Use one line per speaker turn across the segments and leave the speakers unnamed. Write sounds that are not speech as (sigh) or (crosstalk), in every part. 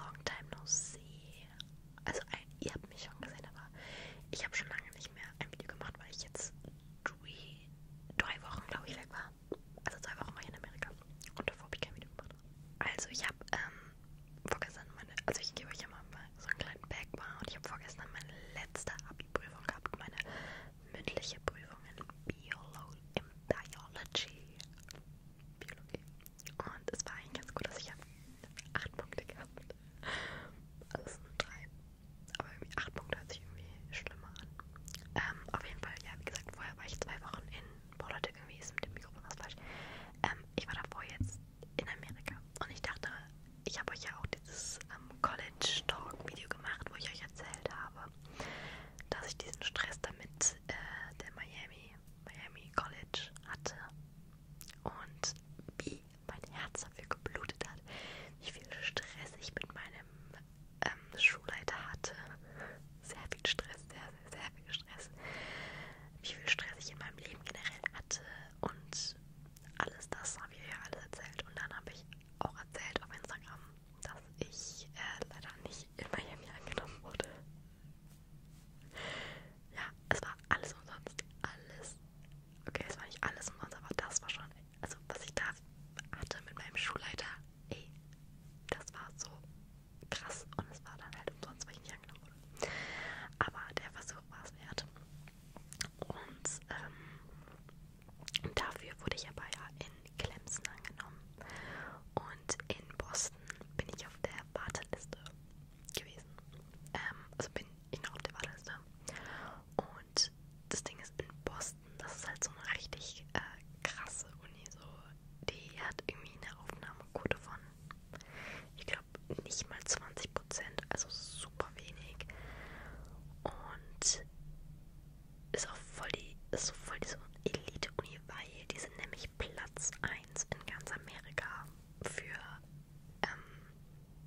Long time no see. Also ihr habt mich schon gesehen, aber ich habe schon lange nicht mehr ein Video gemacht, weil ich jetzt drei, drei Wochen, glaube ich, weg war. Also zwei Wochen war ich in Amerika und davor habe ich kein Video gemacht. Also ich habe ähm, vorgestern meine, also ich gebe euch ja mal so einen kleinen Background und ich habe vorgestern meine letzte Abi-Prüfung gehabt, meine mündliche Prüfung in Biolo im Biology. Biologie. Und es war eigentlich ganz gut, dass ich habe 8 Punkte gehabt. Also es sind 3. Aber irgendwie 8 Punkte hört sich irgendwie schlimmer an. Ähm, auf jeden Fall, ja, wie gesagt, vorher war ich zwei Wochen in Bordeaux. Irgendwie ist mit dem Mikrofon was falsch. Ähm, ich war davor jetzt in Amerika. Und ich dachte, ich habe euch ja auch dieses ähm, College Talk Video gemacht, wo ich euch erzählt habe, dass ich diesen Stress damit äh, der Miami Miami College hatte und wie mein Herz dafür geblutet hat, wie viel Stress ich mit meinem ähm, Schulleiter hatte. Sehr viel Stress, sehr, sehr, sehr viel Stress. Wie viel Stress ich in meinem Leben generell hatte und alles das habe ich ja alles erzählt. Und dann habe ich auch erzählt auf Instagram, dass ich äh, leider nicht in Miami angenommen wurde. Ja, es war alles umsonst. Alles. Okay, es war nicht alles umsonst, aber das war schon. Also, was ich da hatte mit meinem Schulleiter, ey, das war so krass. Und es war dann halt umsonst, weil ich nicht angenommen wurde. Aber der Versuch war es wert. Und ähm, dafür wurde ich aber ja in Clemson angenommen. Und in Boston bin ich auf der Warteliste gewesen. Ähm, also bin ich noch auf der Warteliste. Und das Ding ist in Boston, das ist halt so eine richtig äh, krasse Uni. So. Die hat irgendwie eine Aufnahmequote von, ich glaube, nicht mal 20%, also super wenig. Und ist auch voll die, ist so voll diese Elite-Uni, weil die sind nämlich Platz 1 in ganz Amerika für ähm,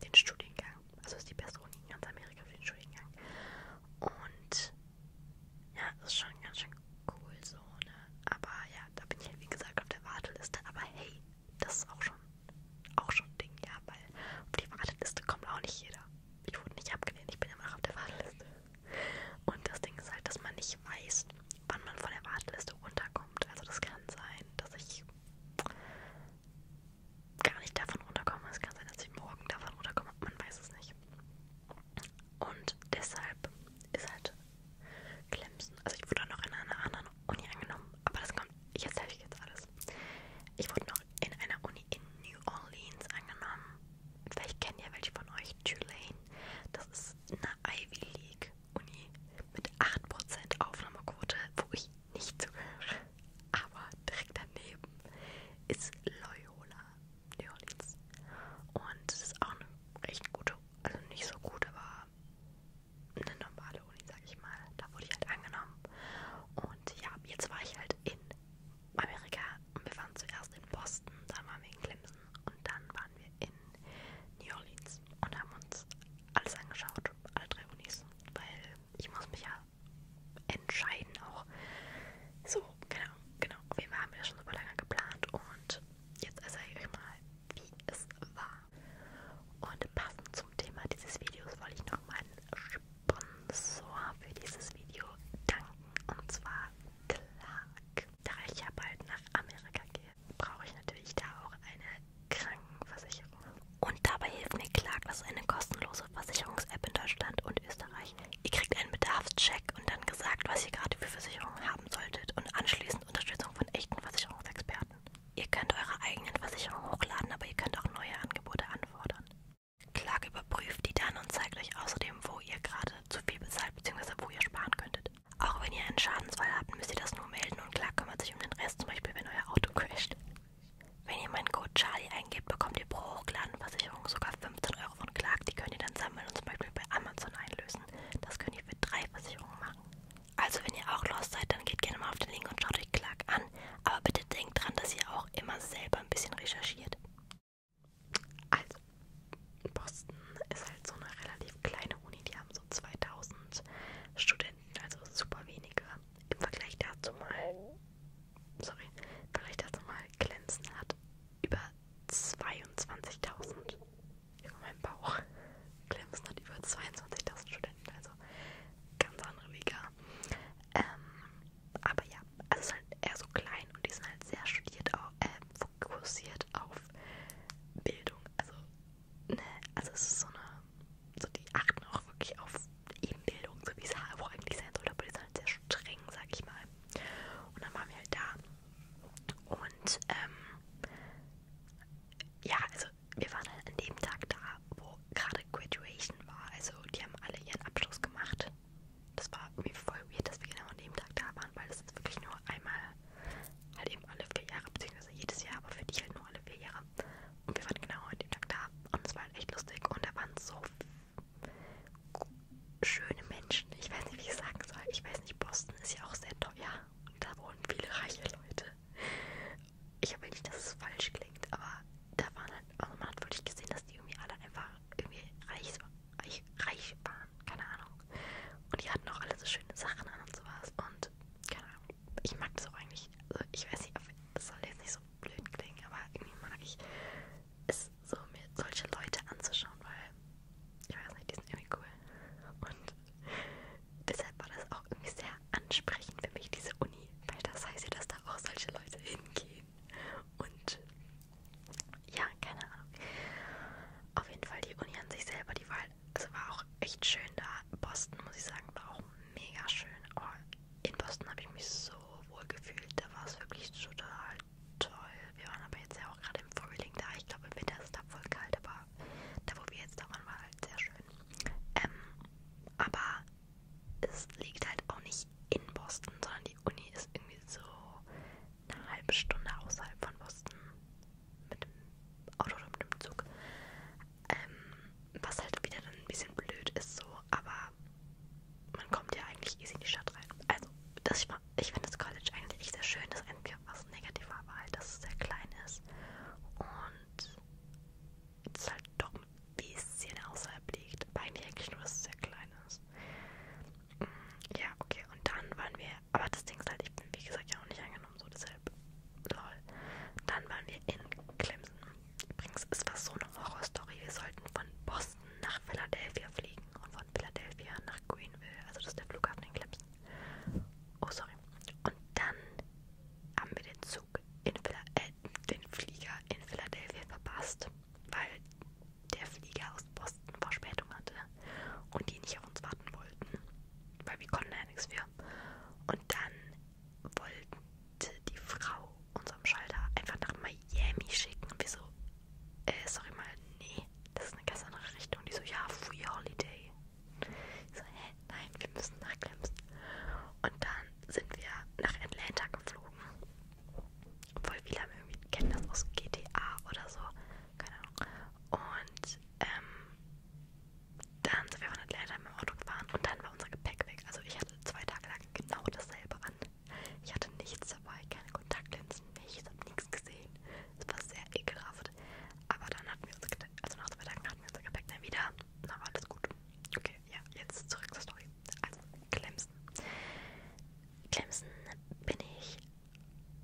den Studiengang. Also ist die beste Uni in ganz Amerika für den Studiengang. Und ja, das ist schon ganz schön cool so, ne? Aber ja, da bin ich halt wie gesagt auf der Warteliste. Aber hey, das ist auch schon, auch schon ein Ding, ja, weil auf die Warteliste kommt auch nicht jeder. Ich wurde nicht abgelehnt, ich bin immer noch auf der Warteliste. Und das Ding ist halt, dass man nicht weiß, wann man von der Warteliste runterkommt. Also das kann sein, dass ich gar nicht davon runterkomme. Es kann sein, dass ich morgen davon runterkomme. Man weiß es nicht. Und deshalb ist halt Clemson. Also ich wurde noch in einer anderen Uni angenommen. Aber das kommt, jetzt helfe ich jetzt alles. Ich wurde noch in einer Uni in New Orleans angenommen vielleicht kennen ja welche von euch Tulane. Das ist eine Ivy League Uni mit 8% Aufnahmequote, wo ich nicht zugehöre. Aber direkt daneben ist Loyola New Orleans. Und es ist auch eine recht gute, also nicht so gut, aber eine normale Uni, sag ich mal. Da wurde ich halt angenommen. Und ja, jetzt war ich halt in Amerika und wir waren zuerst in Boston, dann waren wir in Clemson und dann waren wir in New Orleans und haben uns alles angeschaut, alle drei Unis, weil ich muss mich ja entscheiden auch. So, genau, genau. Auf jeden Fall haben wir das schon super lange geplant und jetzt erzähle ich euch mal, wie es war. Und passend zum Thema dieses Videos wollte ich noch meinen Sponsor für dieses Video danken und zwar klar. Da ich ja bald nach Amerika gehe, brauche ich natürlich da auch eine Krankenversicherung. Und dabei hilft mir Clark, das ist eine kostenlose Versicherungs-App in Deutschland und Österreich. Ihr kriegt einen Bedarfscheck und dann gesagt, was ihr gerade für Versicherungen haben solltet und anschließend Unterstützung von echten Versicherungsexperten. Ihr könnt eure eigenen Versicherungen hochladen, aber ihr könnt auch neue Angebote anfordern. Clark überprüft die dann und zeigt euch außerdem, wo ihr gerade zu viel bezahlt bzw. wo ihr sparen könntet. Auch wenn ihr einen Schadensfall habt, müsst ihr das nur melden und Clark kümmert sich um den Rest, zum Beispiel wenn euer Auto crasht. Wenn ihr meinen Code Charlie eingebt, bekommt ihr pro hochgeladene Versicherung sogar 15 Euro von Clark. Die könnt ihr dann sammeln und zum Beispiel bei Amazon einlösen. Das könnt ihr für drei Versicherungen machen. Also wenn ihr auch lost seid, dann geht gerne mal auf den Link und schaut euch Clark an. Aber bitte denkt dran, dass ihr auch immer selber ein bisschen recherchiert. Also, Boston ist halt so eine relativ kleine Uni, die haben so 2000 Studenten, also super wenige. Im Vergleich dazu mal, sorry, im Vergleich dazu mal, Glänzen hat über 22.000. Über meinen Bauch. Glänzen hat über 22.000 Studenten, also ganz andere Liga. Ähm, aber ja, also es ist halt eher so klein und die sind halt sehr studiert, auch, äh, fokussiert auf Bildung. Also, ne, also es ist so eine, so die achten auch wirklich auf eben Bildung, so wie es auch eigentlich sein sollte, aber die sind halt sehr streng, sag ich mal. Und dann waren wir halt da und, ähm, ja, also wir waren halt an dem Tag da, wo gerade Graduation war, also die haben alle ihren Abschluss gemacht das war irgendwie voll weird, dass wir genau an dem Tag da waren, weil das ist wirklich nur einmal, halt eben alle vier Jahre, beziehungsweise jedes Jahr, aber für dich halt nur alle vier Jahre. Und wir waren genau an dem Tag da und es war halt echt lustig und da waren so schöne Menschen. Ich weiß nicht, wie ich sagen soll. Ich weiß nicht, Boston ist ja auch sehr teuer und da wohnen viele reiche Leute. Ich habe nicht, dass es falsch klingt, aber da waren halt, also man hat wirklich gesehen, dass die irgendwie alle einfach irgendwie reich, reich, reich waren, keine Ahnung. Und die hatten auch alle so schöne Sachen an und sowas. Und keine Ahnung, ich mag das auch eigentlich. Also ich weiß nicht, das soll jetzt nicht so blöd klingen, aber irgendwie mag ich es so, mir solche Leute anzuschauen, weil ich weiß nicht, die sind irgendwie cool. Und (laughs) deshalb war das auch irgendwie sehr ansprechend für mich, diese Uni, weil das heißt ja, dass da auch solche Leute hingehen und ja, keine Ahnung. Auf jeden Fall die Uni an sich selber, die Wahl, also war auch echt schön da. Boston, muss ich sagen, war auch mega schön. Oh, in Boston habe ich mich so wohl gefühlt, da war es wirklich total toll. Wir waren aber jetzt ja auch gerade im Frühling da. Ich glaube, im Winter ist es da voll kalt, aber da, wo wir jetzt da waren, war halt sehr schön. Ähm, aber es liegt halt auch nicht nicht in Boston, sondern die Uni ist irgendwie so eine halbe Stunde außerhalb von Boston mit dem Auto oder mit dem Zug. Ähm, was halt wieder dann ein bisschen blöd ist so, aber man kommt ja eigentlich easy in die Stadt rein. Also das, ich, ich finde das College eigentlich echt sehr schön. Das Einzige, was negativ war, war halt, dass es sehr klein ist und es halt doch mit bisschen außerhalb liegt. Aber eigentlich, eigentlich nur, dass es sehr klein ist. Mm, ja, okay. Und dann waren wir, aber das Ding ist halt, ich bin wie gesagt ja auch nicht angenommen, so deshalb, lol. Dann waren wir in Clemson. Übrigens, es war so eine Horrorstory. Wir sollten von Boston nach Philadelphia fliegen und von Philadelphia nach Greenville. Also das ist der Flughafen in Clemson. Oh, sorry. Und dann haben wir den Zug in, Phila den Flieger in Philadelphia verpasst, weil der Flieger aus Boston Verspätung hatte und die nicht auf uns warten wollten, weil wir konnten ja nichts für. Und dann wollte die Frau unserem Schalter einfach nach Miami schicken und wir so, äh, sorry mal, nee, das ist eine ganz andere Richtung. Die so, ja, Free Holiday. Ich so, hä, nein, wir müssen nach Clemson. Und dann sind wir nach Atlanta geflogen Voll viele haben irgendwie, kennen das aus GTA oder so. Keine Ahnung. Und ähm, dann sind wir von Atlanta mit dem Auto gefahren und dann war unser Gepäck weg. Also ich hatte zwei Tage lang genau dasselbe an. Ich hatte nichts dabei, keine Kontaktlinsen, nichts, habe nichts gesehen. Es war sehr ekelhaft. Aber dann hatten wir uns, also nach zwei Tagen hatten wir unser Gepäck dann wieder. Na, war alles gut. Okay ja, jetzt zurück zur Story. Also, Clemson. Clemson bin ich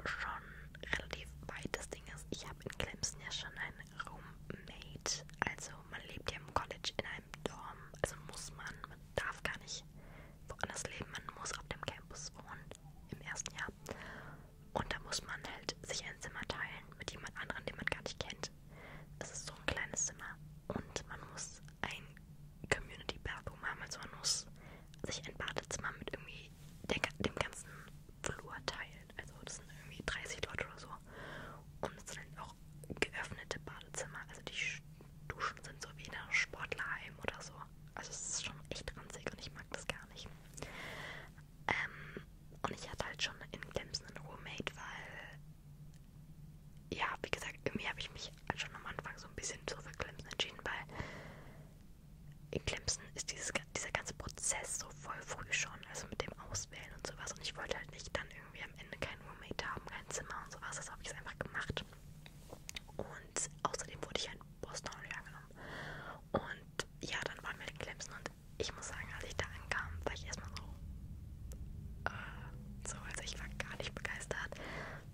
schon relativ weit. Das Ding ist, ich habe in Clemson ja schon einen Roommate. Also, man lebt ja im College in einem Dorm. Also muss man, man darf gar nicht woanders leben. Man muss auf dem Campus wohnen im ersten Jahr. Und da muss man halt sich ein Zimmer teilen mit jemand anderem, den man gar nicht kennt. Es ist so ein kleines Zimmer und man muss ein Community Bathroom haben. Also man muss sich ein Badezimmer mit irgendwie der, dem ganzen Flur teilen. Also das sind irgendwie 30 Leute oder so. Und es sind auch geöffnete Badezimmer. Also die Duschen sind so wie in einem Sportlerheim oder so. Also es ist schon echt ranzig und ich mag das gar nicht. Ähm, und ich hatte halt schon in Glemsen einen Roommate, weil ja, wie gesagt, irgendwie habe ich mich schon am Anfang so ein bisschen so für Clemson entschieden, weil in Clemson ist dieses, dieser ganze Prozess so voll früh schon, also mit dem Auswählen und sowas. Und ich wollte halt nicht dann irgendwie am Ende keinen Roommate haben, kein Zimmer und sowas. Das habe ich jetzt einfach gemacht. Und außerdem wurde ich halt in Boston angenommen. Und ja, dann waren wir in Clemson und ich muss sagen, als ich da ankam, war ich erstmal so äh, so, also ich war gar nicht begeistert,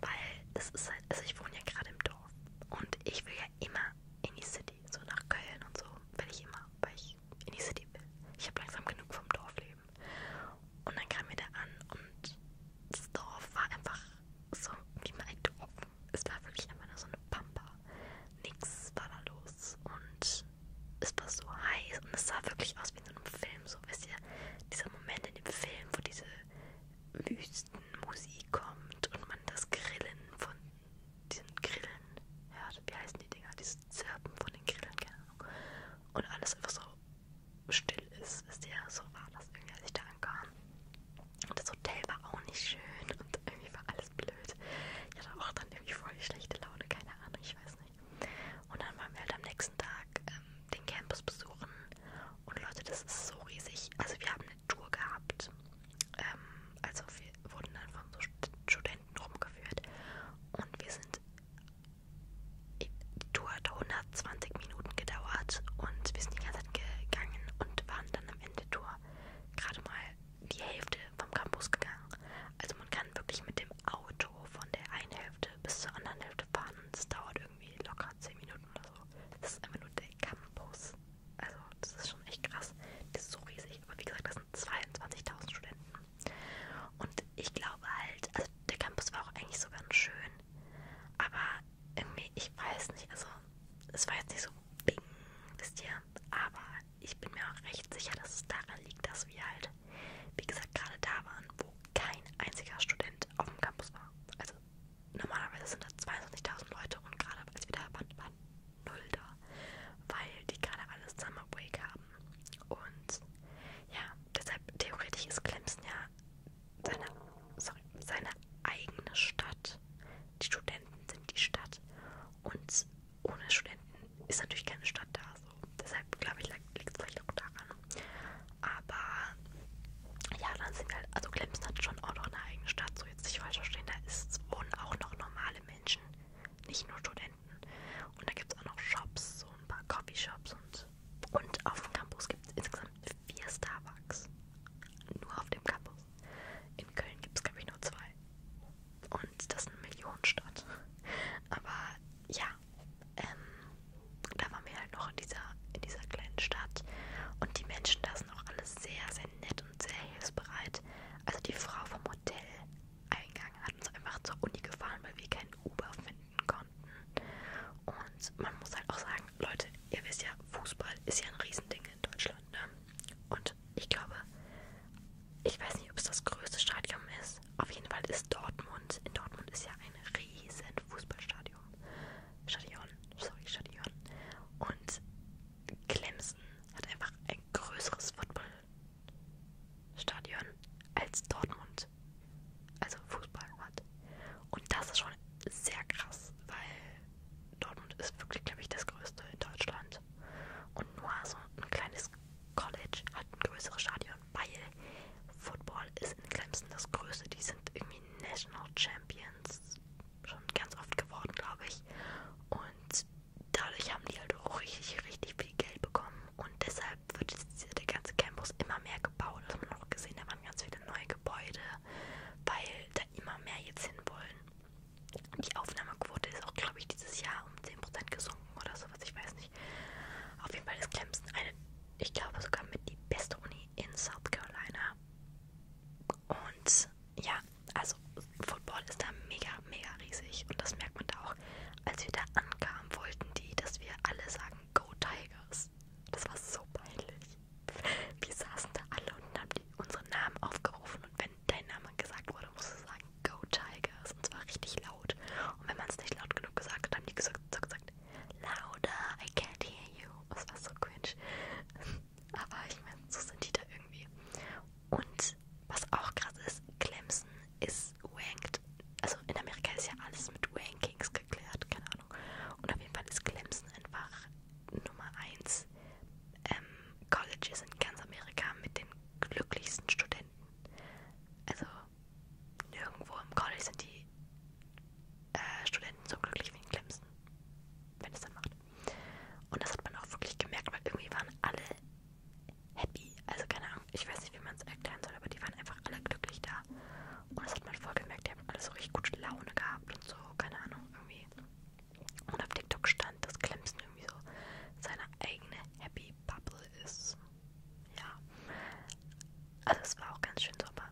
weil das ist halt, also ich wohne ja gerade im Dorf und ich will ja immer in die City, so nach Köln und so will ich immer, weil ich in die City will. Ich habe langsam genug vom Dorfleben. Und dann kam mir der an und das Dorf war einfach so wie mein Dorf. Es war wirklich einfach nur so eine Pampa. Nix war da los und es war so heiß und es sah wirklich aus fast wie in einem Film, so wisst ihr, dieser Moment in dem Film, wo diese Wüstenmusik kommt und man das Grillen von diesen Grillen hört. Wie heißen die Dinger? Dieses Zirpen von den Grillen, keine Ahnung. Und alles einfach so still ist, wisst ihr, so war das irgendwie, als ich da ankam. Und das Hotel war auch nicht schön und irgendwie war alles blöd. Ich hatte auch dann irgendwie voll schlechte Laune, keine Ahnung, ich weiß nicht. Und dann waren wir halt am nächsten Tag ähm, den Campus besuchen. Und Leute, das ist so riesig. Also wir haben eine Tour gehabt. Ähm, also wir wurden dann von so Studenten rumgeführt. Und wir sind... Die Tour hat 120 Minuten gedauert. Und wir sind die ganze Zeit gegangen und waren dann am Ende Tour gerade mal die Hälfte vom Campus gegangen. Also man kann wirklich mit dem dem Auto von der einen Hälfte bis zur anderen Hälfte fahren und es dauert irgendwie locker 10 Minuten oder so. Das ist einfach nur der Campus. Also, das ist schon echt krass. Das ist so riesig. Aber wie gesagt, das sind 22.000 Studenten. Und ich glaube halt, also der Campus war auch eigentlich so ganz schön. Aber irgendwie, ich weiß nicht, also es war jetzt nicht so bing, wisst ihr. Aber ich bin mir auch recht sicher, dass es daran liegt, dass wir halt halt, wie gesagt, gerade da waren, wo kein einziger Student auf dem Campus war. Also normalerweise sind da 22.000 Leute und gerade als wir da waren, waren null da, weil die gerade alles Summer Break haben. Und ja, deshalb theoretisch ist Clemson ja seine, sorry, seine eigene Stadt. Die Studenten sind die Stadt und ohne Studenten ist natürlich keine Stadt da. Deshalb glaube ich, liegt es vielleicht auch daran. Aber ja, dann sind halt, also Clemson hat schon auch noch eine eigene Stadt, so jetzt nicht falsch verstehen, da ist, wohnen auch noch normale Menschen, nicht nur Studenten. Und da gibt es auch noch Shops, so ein paar Coffeeshops und, und auf dem Campus gibt es insgesamt vier Starbucks. Nur auf dem Campus. In Köln gibt es, glaube ich, nur zwei. Und das ist eine Millionenstadt. Aber ja, ähm, da waren wir halt noch in dieser, in dieser kleinen Stadt und die Menschen da sind auch alle sehr, sehr nett und sehr hilfsbereit. Also die Frau vom Hoteleingang hat uns einfach zur Uni gefahren, weil wir keinen Uber finden konnten. Und man muss halt auch sagen, Leute, ihr wisst ja, Fußball ist ja ein Riesending in Deutschland. Ne? Und ich glaube, ich weiß nicht, ob es das größte Stadion ist. Auf jeden Fall ist Dortmund. In Dortmund ist ja ein riesen Fußballstadion. Stadion, sorry, Stadion. Und Clemson hat einfach ein größeres Footballstadion als Dortmund. Also Fußball hat. Und das ist schon sehr krass, weil Dortmund ist wirklich, glaube ich, das größte in Deutschland. Und nur so ein kleines College hat ein größeres Stadion weil Football ist in Clemson das Größte. Die sind irgendwie National Champions schon ganz oft geworden, glaube ich. Und dadurch haben die halt auch richtig, richtig viel Geld bekommen. Und deshalb wird der ganze Campus immer mehr gebaut. Das haben wir noch gesehen, da waren ganz viele neue Gebäude, weil da immer mehr jetzt hin wollen. Die Aufnahmequote ist auch, glaube ich, dieses Jahr um 10% gesunken oder sowas. Ich weiß nicht nicht. Auf jeden Fall ist Clemson eine, ich glaube sogar mit die beste Uni in South Carolina. Und ja, also Football ist da mega, mega riesig. Und das merkt man da auch. Als wir da ankamen, wollten die, dass wir alle sagen, Go Tigers. Das war so peinlich. Wir saßen da alle und haben die unseren Namen aufgerufen. Und wenn dein Name gesagt wurde, musst du sagen, Go Tigers und zwar richtig laut. Und wenn man es nicht laut genug gesagt hat, haben die gesagt, so gesagt, louder, I can't hear you. Das war so cringe. (laughs) Aber ich meine, so sind die da irgendwie. Und was auch krass ist, Clemson ist ranked. Also in Amerika ist ja alles mit Rankings geklärt, keine Ahnung. Und auf jeden Fall ist Clemson einfach Nummer 1 ähm, Colleges in ganz Amerika mit den glücklichsten Studenten finden. Also nirgendwo im College sind die äh, Studenten so glücklich wie in Clemson, wenn es dann macht. Und das hat man auch wirklich gemerkt, weil irgendwie waren alle happy. Also keine Ahnung, ich weiß nicht, wie man es erklären soll, aber die waren einfach alle glücklich da. Und das hat man voll gemerkt, die haben alle so richtig gute Laune gehabt und so, keine Ahnung, irgendwie. Und auf TikTok stand lernt, dass Clemson irgendwie so seine eigene Happy Bubble ist. Ja. Also es war auch ganz schön so, aber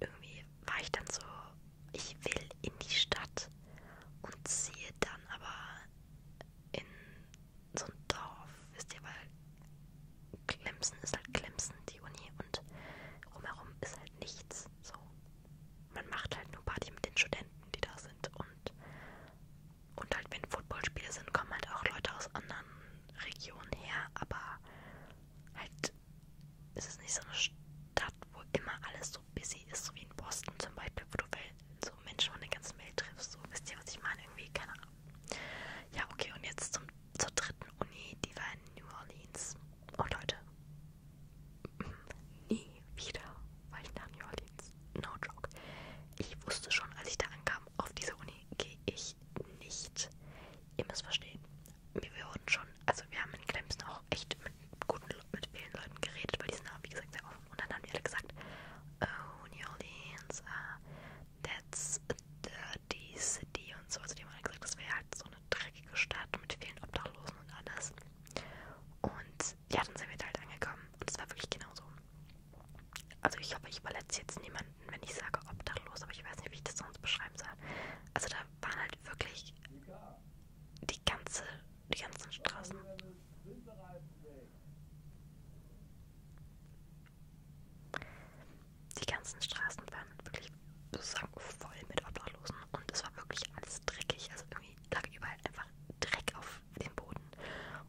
irgendwie war ich dann so, ich will in die Stadt und ziehe dann aber in so ein Dorf, wisst ihr, weil Clemson ist halt Clemson, die Uni, und rumherum ist halt nichts. So, man macht halt nur Party mit den Studenten, die da sind, und und halt, wenn Footballspiele sind, kommen halt auch Leute aus anderen Regionen her, aber halt es ist nicht so eine Stadt, wo immer alles so busy ist, so wie in Boston zum Beispiel, wo du so Menschen von der ganzen Welt triffst. So wisst ihr, was ich meine? Irgendwie, keine Ahnung. Ja, okay, und jetzt zum, zur dritten Uni, die war in New Orleans. Und oh, Leute, (laughs) nie wieder war ich nach New Orleans no joke. Ich wusste schon, als ich da ankam, auf diese Uni gehe ich nicht. Ihr müsst verstehen, wir wurden schon, also wir haben in Clemson auch echt mit guten, mit vielen Leuten geredet, weil die sind auch, wie gesagt, sehr offen. Und dann haben wir alle gesagt, oh, New Orleans, uh, that's a dirty city und so. Also die haben alle gesagt, das wäre halt so eine dreckige Stadt mit vielen Obdachlosen und alles. Und ja, dann sind wir da halt angekommen. Und es war wirklich genauso. Also ich hoffe, ich verletze jetzt niemanden, wenn ich sage obdachlos, aber ich weiß nicht, wie ich das sonst beschreiben soll. Also da waren halt wirklich die ganze, die ganzen Straßen. Die ganzen Straßen waren wirklich sozusagen voll mit Obdachlosen und es war wirklich alles dreckig. Also irgendwie lag überall halt einfach Dreck auf dem Boden.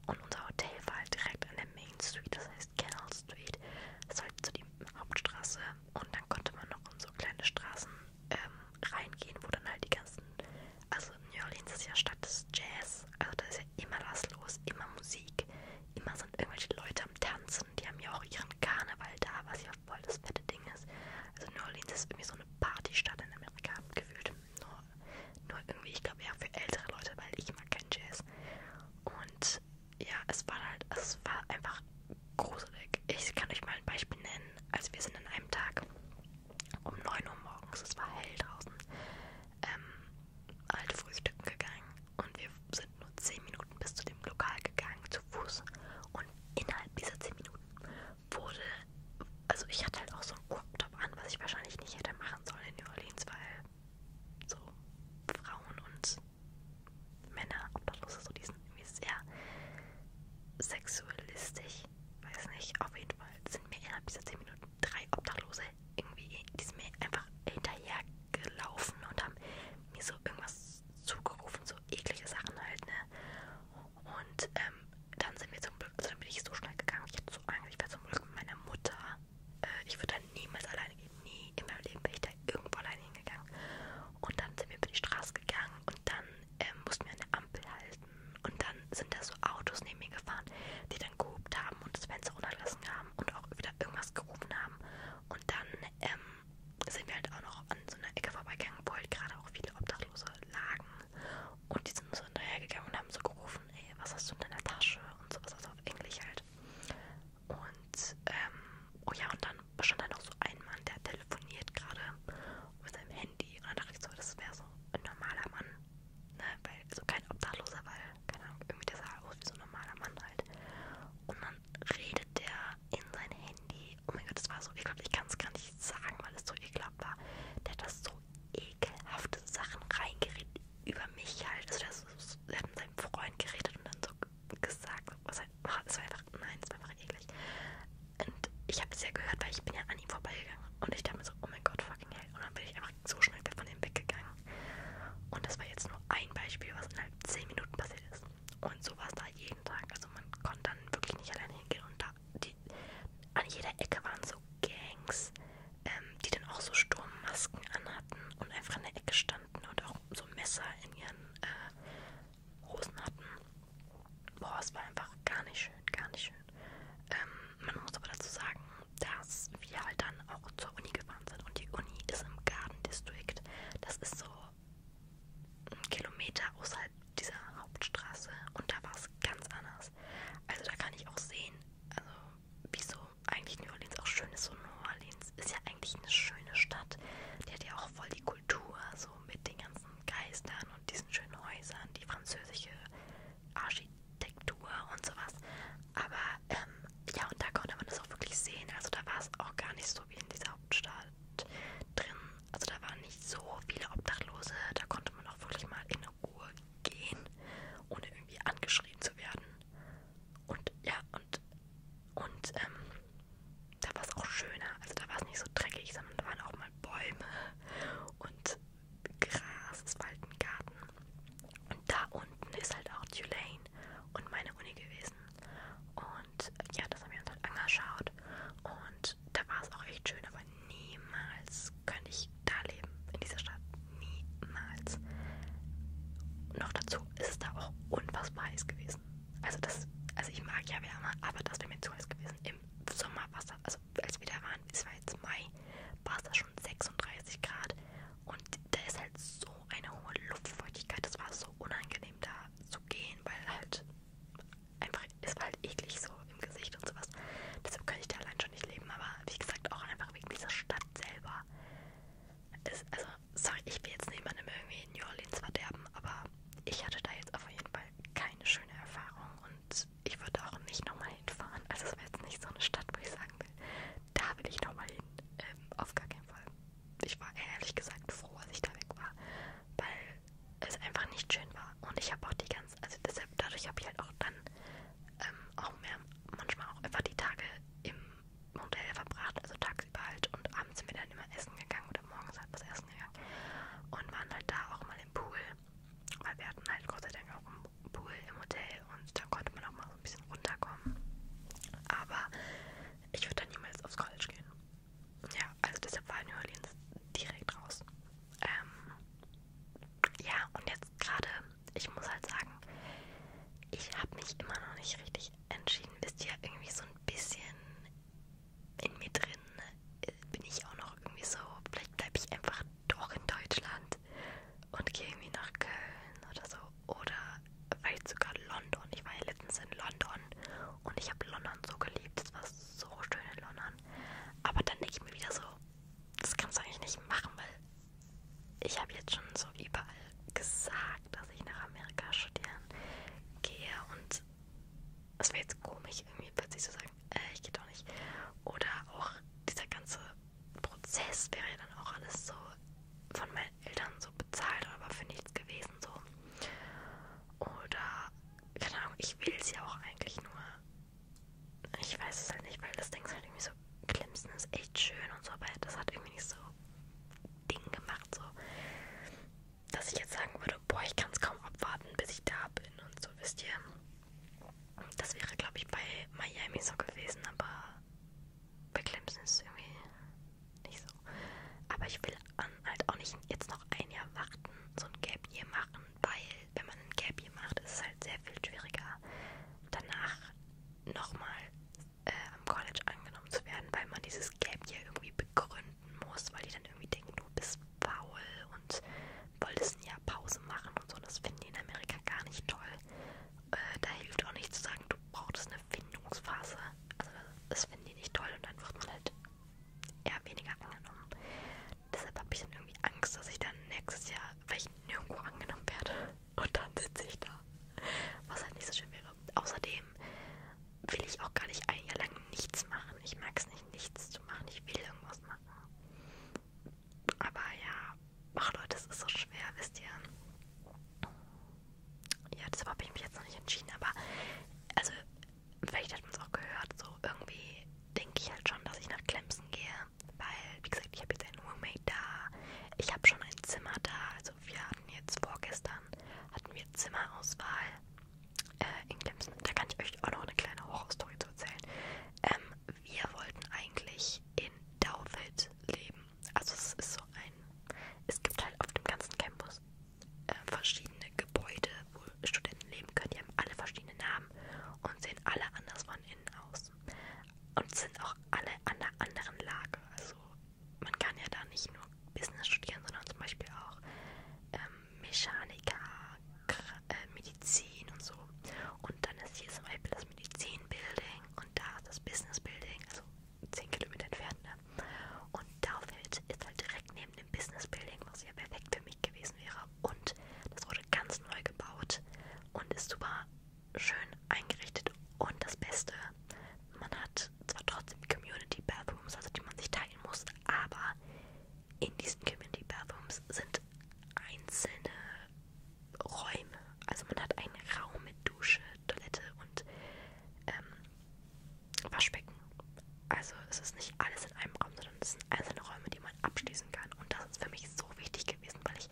Und unser Hotel war halt direkt an der Main Street, das heißt Canal Street. Das ist halt so die Hauptstraße. Und dann konnte man noch in so kleine Straßen ähm, reingehen, wo dann halt die ganzen. Also New Orleans ist ja Stadt des Jazz. Also da ist ja immer was los, immer Musik. Immer sind irgendwelche Leute am Tanzen. Die haben ja auch ihren Karneval da, was ja voll das fette Ding ist. Also New Orleans ist irgendwie so eine Partystadt in Amerika gefühlt. Nur, nur irgendwie, ich glaube eher für ältere Leute, weil ich mag keinen Jazz. Und ja, es war halt, es war einfach gruselig. Ich kann euch mal ein Beispiel nennen. Also wir sind an einem Tag um 9 Uhr morgens, es war hell draußen, ähm, halt frühstücken gegangen. Und wir sind nur 10 Minuten bis zu dem Lokal gegangen, zu Fuß. Und innerhalb dieser 10 Minuten wurde, also ich hatte halt auch so einen Crop-Top an, was ich wahrscheinlich nicht hätte machen sollen in New Orleans, weil so Frauen und Männer obdachlos so diesen irgendwie sehr sexualistisch, weiß nicht, auf jeden Fall sind mir innerhalb dieser 10 Minuten drei Obdachlose irgendwie, die sind mir einfach hinterher gelaufen und haben mir so irgendwas zugerufen, so eklige Sachen halt, ne? Und ähm, dann sind wir zum Glück, dann bin ich so schnell gegangen, ich hatte so Angst, ich war zum Glück mit meiner Mutter. Äh, ich würde da niemals alleine gehen, nie in meinem Leben bin ich da irgendwo alleine hingegangen. Und dann sind wir über die Straße gegangen und dann ähm, mussten wir an der Ampel halten. Und dann sind da so Autos neben mir gefahren, die dann gehupt haben und das Fenster runtergelassen haben und auch wieder irgendwas gerufen haben. Und dann ähm, sind wir halt auch noch an so einer Ecke vorbeigegangen, wo halt gerade auch viele Obdachlose lagen. Und die sind so hinterhergegangen und haben so gerufen, ey, was hast du in deiner Tasche und sowas, also auf Englisch halt. Und, ähm, oh ja, und dann stand da noch so ein Mann, der telefoniert gerade mit seinem Handy. Und dann dachte ich so, das wäre so ein normaler Mann, ne, weil, so also kein Obdachloser, weil, keine Ahnung, irgendwie der sah aus wie so ein normaler Mann halt. Und dann redet der in sein Handy. Oh mein Gott, das war so ekelhaft. Ich kann es gar nicht sagen, weil es so ekelhaft war. Der hat das so ekelhafte Sachen reingeredet über mich halt. Also das, das, das hat mit seinem Freund geredet und dann so gesagt, was halt, es war einfach, nein, es war einfach eklig. Und ich habe es ja gehört, weil ich bin ja an ihm vorbeigegangen und ich dachte mir so, oh mein Gott, fucking hell. Und dann bin ich einfach so schnell von ihm weggegangen. Und das war jetzt nur ein Beispiel, was innerhalb 10 Minuten passiert ist. Und so war es da jeden Tag. Also man konnte dann wirklich nicht alleine hingehen und da die, an jeder Ecke waren so Gangs, ähm, die dann auch so Sturmmasken anhatten und einfach in der Ecke standen und auch so Messer in ihren äh, Hosen hatten. Boah, es war einfach gar nicht schön, gar nicht schön. Ähm, man muss aber dazu sagen, dass wir halt dann auch zur Uni gefahren sind und die Uni ist im Garden District. Das ist so ein Kilometer außerhalb dieser Hauptstraße und da war es ganz anders krass. Also da kann ich auch sehen, also wieso eigentlich New Orleans auch schön ist. So New Orleans ist ja eigentlich eine schöne Stadt. Die hat ja auch voll die Kultur, so mit den ganzen Geistern und diesen schönen Häusern, die französische Architektur und sowas. Aber ähm, ja, und da konnte man das auch wirklich sehen. Also da war es auch gar nicht so wie in dieser Hauptstadt drin, also da waren nicht so viele Obdachlose, da konnte man auch wirklich mal in Ruhe gehen, ohne irgendwie angeschrien zu werden. Und ja, und, und ähm, da war es auch schöner, also da war es nicht so dreckig, sondern da waren auch mal Bäume und Gras, es war halt ein Garten. Und da unten ist halt auch Tulane und meine Uni gewesen. Und ja, das haben wir uns halt angeschaut. Und und da war es auch echt schön, aber niemals könnte ich da leben, in dieser Stadt. Niemals. Und noch dazu ist es da auch unfassbar heiß gewesen. Also das, also ich mag ja Wärme, aber das wäre mir zu heiß gewesen. Im Sommer war es da, also als wir da waren, es war jetzt Mai, war es da schon 36 Grad. Und da ist halt so eine hohe Luftfeuchtigkeit. Das war so unangenehm da zu gehen, weil halt einfach, es war halt eklig so im Gesicht und sowas. Deshalb könnte ich da allein schon nicht leben, aber wie gesagt, auch einfach wegen dieser Stadt selber. Es, also, sorry, ich will jetzt niemandem irgendwie New Orleans verderben, aber ich hatte da jetzt auf jeden Fall keine schöne Erfahrung und ich würde auch nicht nochmal hinfahren. Also, es war jetzt nicht so eine Stadt, wo ich sagen will, da will ich nochmal hin. Ähm, auf gar keinen Fall. Ich war ehrlich gesagt froh, als ich da weg war, weil es einfach nicht schön war. Und ich habe auch die ganze, also deshalb, dadurch habe ich halt auch dann ähm, auch mehr, manchmal auch einfach die Tage im Hotel verbracht, also tagsüber halt und abends sind wir dann immer essen gegangen oder morgens halt was essen gegangen und waren halt da auch mal im Pool, weil wir hatten halt Gott sei Dank auch einen Pool im Hotel und da konnte man auch mal so ein bisschen runterkommen. Aber ich würde dann niemals aufs College gehen ja, also deshalb war New Orleans direkt raus. Ähm, ja, und jetzt gerade, ich muss halt sagen, ich habe mich immer noch nicht richtig entschieden. Wisst ihr, irgendwie so ein bisschen in mir drin äh, bin ich auch noch irgendwie so, vielleicht bleibe ich einfach doch in Deutschland und gehe irgendwie nach Köln oder so. Oder vielleicht sogar London. Ich war ja letztens in London und ich habe London so geliebt. Es war so schön in London. Aber dann denke ich mir wieder so, das kannst du eigentlich nicht machen, weil ich habe jetzt schon so überall gesagt, dass ich nach Amerika studieren gehe und es wäre jetzt komisch, irgendwie plötzlich zu sagen, äh, ich gehe doch nicht. Oder auch dieser ganze Prozess wäre ja dann auch alles so von meinen Eltern so bezahlt, aber für nichts gewesen so. Oder, keine Ahnung, ich will es ja auch eigentlich nur. Ich weiß es halt nicht, weil das Ding ist halt irgendwie so, Clemson ist echt schön und so, aber das hat irgendwie nicht so Ding gemacht, so. Dass ich jetzt sagen würde, boah, ich kann es kaum abwarten, bis ich da bin und so, wisst ihr. Das wäre, glaube ich, bei Miami so gewesen, aber bei Clemson ist es irgendwie nicht so. Aber ich will ähm, halt auch nicht jetzt noch ein Jahr warten, so ein Gap Year machen, weil wenn man ein Gap Year macht, ist es halt sehr viel schwieriger, danach nochmal äh, am College angenommen zu werden, weil man dieses Gap Year irgendwie begründen muss, weil die dann irgendwie denken, du bist faul und wolltest ein Jahr Pause machen und so. Das finden die in Amerika gar nicht toll. Äh, da hilft auch nicht zu sagen, du brauchst eine Findungsphase. Also das finden die nicht toll und dann wird man halt eher weniger angenommen. Deshalb habe ich dann irgendwie Angst, dass ich dann nächstes Jahr vielleicht nirgendwo angenommen werde. Und dann sitze ich da. Was halt nicht so schön wäre. Außerdem will ich auch gar nicht ein Jahr lang nichts machen. Ich mag es nicht, nichts zu machen. Ich will irgendwas machen. Aber ja, ach Leute, es ist so schwer, wisst ihr. Ja, deshalb habe ich mich jetzt noch nicht entschieden. Aber also vielleicht hat man es auch gehört, so irgendwie denke ich halt schon, dass ich nach Clemson gehe, weil, wie gesagt, ich habe jetzt einen Roommate da, ich habe schon ein Zimmer da, also wir hatten jetzt vorgestern, hatten wir Zimmerauswahl äh, in Clemson. Da kann ich euch auch noch eine kleine Horrorstory zu erzählen. Ähm, wir wollten eigentlich in Dowfield leben, also es ist so ein, es gibt halt auf dem ganzen Campus äh, verschiedene Gebäude, wo Studenten leben können. Die haben alle verschiedene Namen und sehen alle anders von innen aus. Und sind auch alle an einer anderen Lage. Also man kann ja da nicht nur Business studieren, sondern zum Beispiel auch ähm, Mechaniker, Kr äh, Medizin und so. Und dann ist hier zum Beispiel das Medizin-Building und da ist das Business-Building, also 10 Kilometer entfernt. Ne? Und Dalfeld ist halt direkt neben neben dem Business Building, was ja perfekt für mich gewesen wäre. Und das wurde ganz neu gebaut und ist super schön eingerichtet. Und das Beste, man hat zwar trotzdem Community Bathrooms, also die man sich teilen muss, aber in diesen Community Bathrooms sind einzelne Räume. Also man hat einen Raum mit Dusche, Toilette und ähm, Waschbecken. Also es ist nicht alles in einem Raum, sondern es sind einzelne Räume, die man abschließen kann. Und das ist für mich so wichtig gewesen, weil ich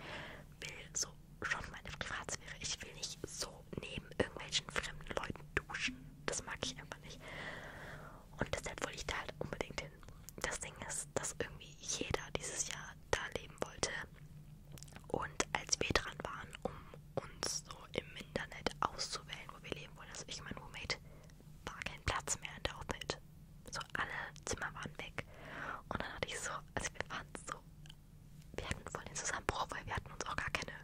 will so schon meine Privatsphäre. Ich will nicht so neben irgendwelchen fremden Leuten duschen. Das mag ich einfach nicht. Und deshalb wollte ich da halt unbedingt hin. Das Ding ist, dass irgendwie jeder dieses Jahr da leben wollte. Und als wir dran waren, um uns so im Internet auszuwählen, wo wir leben wollen. Also ich mein Roommate war kein Platz mehr in der Hobbit. So alle Zimmer waren weg. Und dann hatte ich so, also wir waren so, wir hatten voll den Zusammenbruch, weil wir hatten uns auch gar keine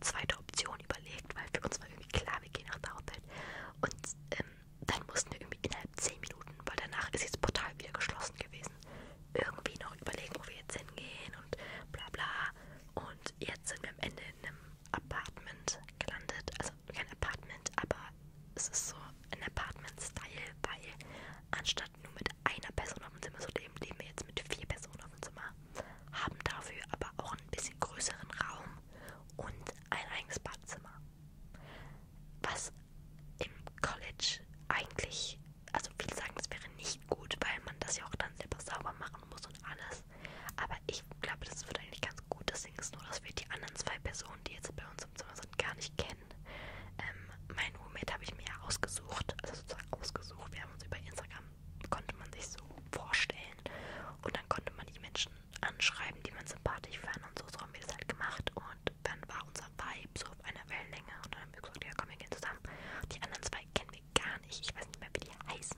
zweite Option überlegt, weil für uns war irgendwie klar, wir gehen nach der Hobbit. Und ähm, dann mussten wir irgendwie innerhalb 10 Minuten, weil danach ist jetzt Portal wieder geschlossen gewesen, irgendwie noch überlegen, wo wir jetzt hingehen und bla bla. Und und jetzt sind wir am Ende in einem Apartment gelandet. Also kein Apartment, aber es ist so ein Apartment-Style, weil anstatt nur mit einer Person auf dem Zimmer zu leben, leben wir jetzt mit vier Personen auf dem Zimmer. Haben dafür aber auch ein bisschen größeren Raum und ein eigenes Badzimmer. Was im College eigentlich, also viele sagen, das wäre nicht echt gut, weil man das ja auch dann selber sauber machen muss und alles. Aber ich glaube, das wird eigentlich ganz gut. Das Ding ist nur, dass wir die anderen zwei Personen, die jetzt bei uns im Zimmer sind, gar nicht kennen. Ähm, mein Roommate habe ich mir ja ausgesucht, also sozusagen ausgesucht. Wir haben uns über Instagram, konnte man sich so vorstellen. Und dann konnte man die Menschen anschreiben, die man sympathisch fand. Und so, so haben wir das halt gemacht. Und dann war unser Vibe so auf einer Wellenlänge. Und dann haben wir gesagt, ja komm, wir gehen zusammen. Die anderen zwei kennen wir gar nicht. Ich weiß nicht mehr, wie die heißen.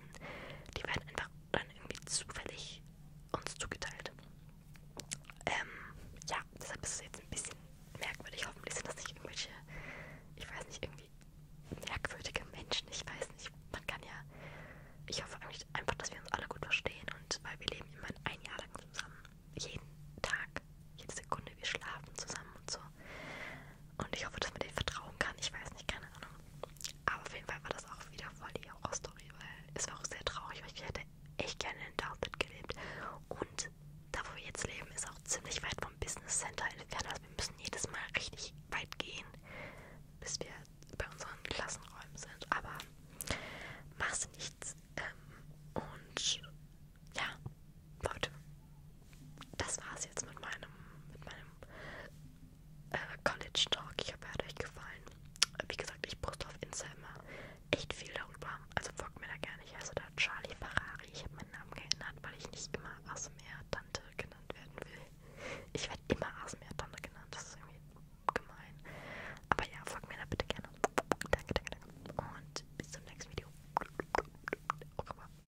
Die werden einfach dann irgendwie zufällig uns zugeteilt. Ähm, ja, deshalb ist es jetzt ein bisschen merkwürdig. Hoffentlich sind das nicht irgendwelche, ich weiß nicht, irgendwie merkwürdige Menschen. Ich weiß nicht, man kann ja, ich hoffe eigentlich einfach, dass wir uns alle gut verstehen und weil wir leben immer ein Jahr lang zusammen. Jeden Tag, jede Sekunde, wir schlafen zusammen und so. Und ich hoffe, dass man denen vertrauen kann. Ich weiß nicht, keine Ahnung. Aber auf jeden Fall war das auch wieder voll die Horrorstory, weil es war auch sehr traurig, weil ich hätte echt gerne in Dartmouth gelebt. Und da, wo wir jetzt leben, ist auch ziemlich weit vom Business Center entfernt. Also wir müssen jedes Mal richtig weit gehen, bis wir bei unseren Klassenräumen sind. Aber machst nichts. Ähm, und ja, Leute, das war's jetzt mit meinem, mit meinem äh, College Talk. Ich hoffe, er hat euch gefallen. Äh, wie gesagt, ich poste auf Insta immer echt viel darüber. Also folgt mir da gerne. Ich heiße da Charlie Ferrari. Ich habe meinen Namen geändert, weil ich nicht immer ASMR-Tante genannt werden will. Ich werde immer ASMR-Tante genannt. Das ist irgendwie gemein. Aber ja, folgt mir da bitte gerne. Danke, danke, danke. Und bis zum nächsten Video. Okay,